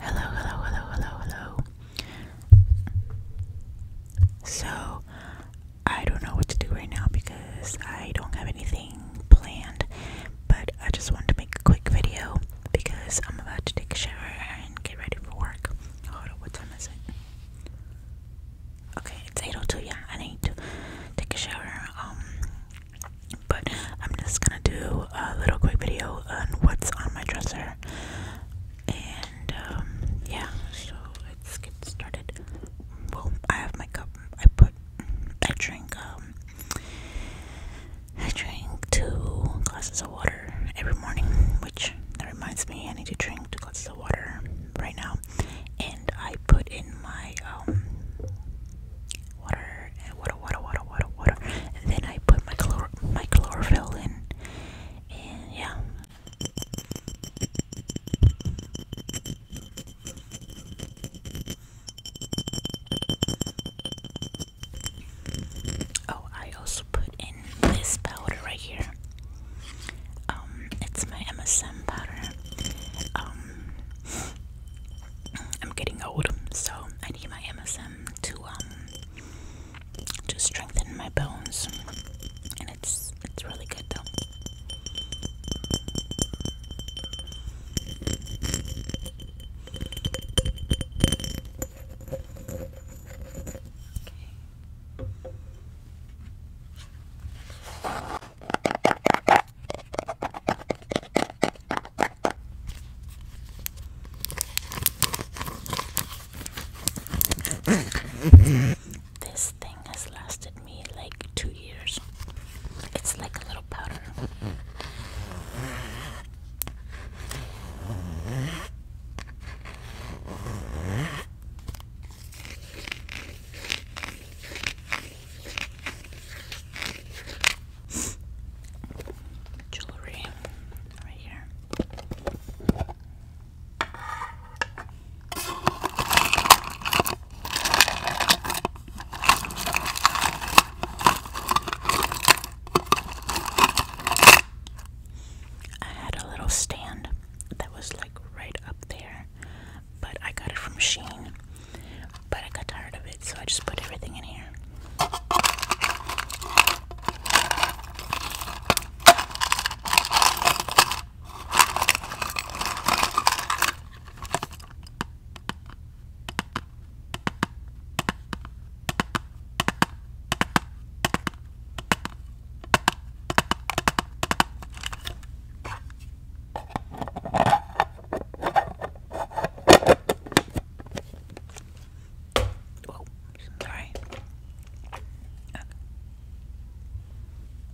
Hello, hello, hello, hello, hello. So, I don't know what to do right now because I don't have anything planned, but I just wanted to make a quick video because I'm about to take a shower and get ready for work. Hold on, what time is it? Okay, it's 8.02, yeah, I need to take a shower, um, but I'm just gonna do a little quick video on what's on my dresser. And um, yeah, so let's get started. Well, I have my cup. I put, I drink, um, I drink two glasses of water every morning, which that reminds me I need to drink two glasses of water right now. And I put in my, um, water, and water, water, water, water, water. And then I put my chlor my chlorophyll in, and yeah. Oh, I also put in this powder right here. Um, it's my MSM powder. Um, I'm getting old, so I need my MSM to um to strengthen my bones, and it's it's really good though. Okay. This thing has lasted me like two years. It's like a little powder. Jewelry right here. I had a little stand that was like right up there, but I got it from Sheen but I got tired of it, so I just put everything in here. Oh, sorry. Okay.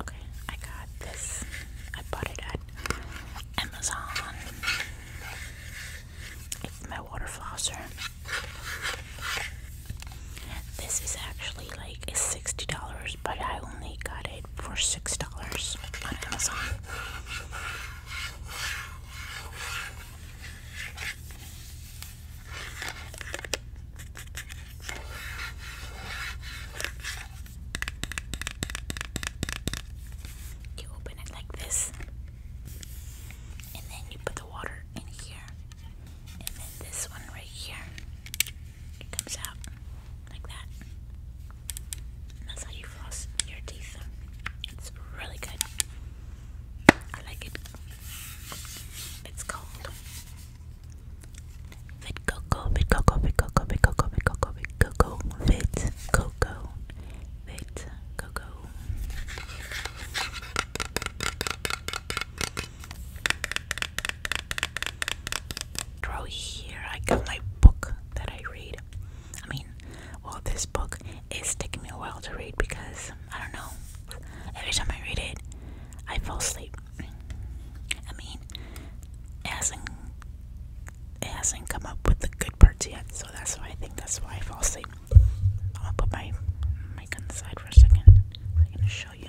okay, I got this. I bought it at Amazon. It's my water flosser. This is actually like $60, but I only got it for $6 on Amazon. You open it like this, and then you put the water in here, and then this one right here. It comes out like that. That's how you floss your teeth. It's really good. I like it. It's called Vit Coco, Vit Coco, Vit Coco, Vit Coco, Vit Coco, Vit Coco, Vit Coco, Vit Coco draw here. I got my book that I read. I mean, well, this book is taking me a while to read because I don't know. Every time I read it, I fall asleep. I mean, it hasn't it hasn't come up with the good parts yet, so that's why I think that's why I fall asleep. I'm gonna put my mic on the for a second. I'm gonna show you.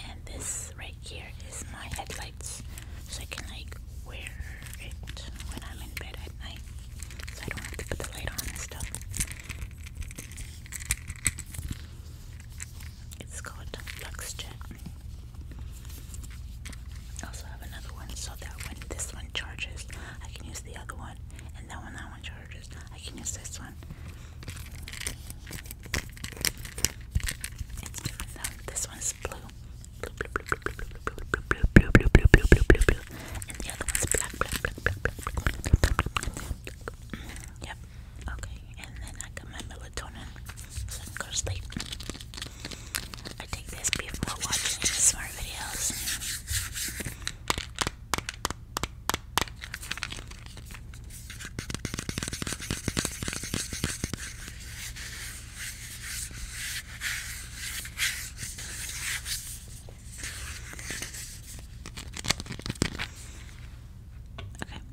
and this right here is my headlights, so I can like wear it when I'm in bed at night, so I don't have to put the light on and stuff. It's called LuxJet. I also have another one so that when this one charges, I can use the other one and that one, that one charges. I can use this one. It's different though. This one blue. and the other one's black, Yep. Okay, and then I got my melatonin so I can go sleep. I take this before watching smart videos.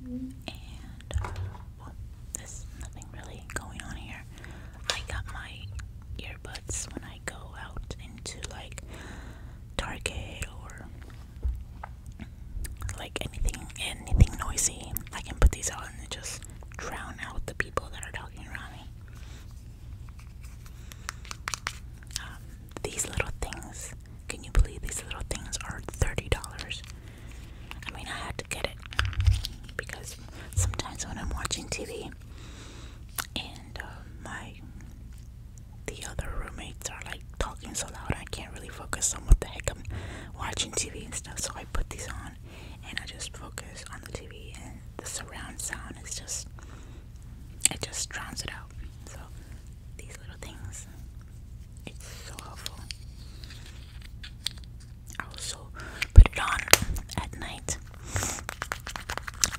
Okay, and uh, well, nothing really going on here. I got my earbuds when I go out into like Target or like anything anything noisy. I can put these on and just drown out the people that are talking around me. Um, these little things, can you believe these little things are $30? I mean, I had to get it because sometimes when I'm watching TV, and uh, my the other roommates are like talking so loud I can't really focus on what the heck I'm watching TV and stuff. So I put these on and I just focus on the TV and the surround sound is just it just drowns it out. So these little things, it's so helpful. I also put it on at night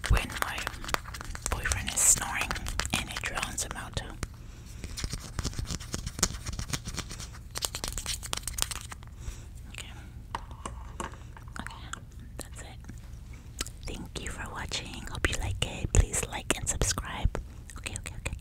when my boyfriend is snoring and it drowns him out Okay. Okay, that's it. Thank you for watching. Hope you like it. Please like and subscribe. okay, okay. okay.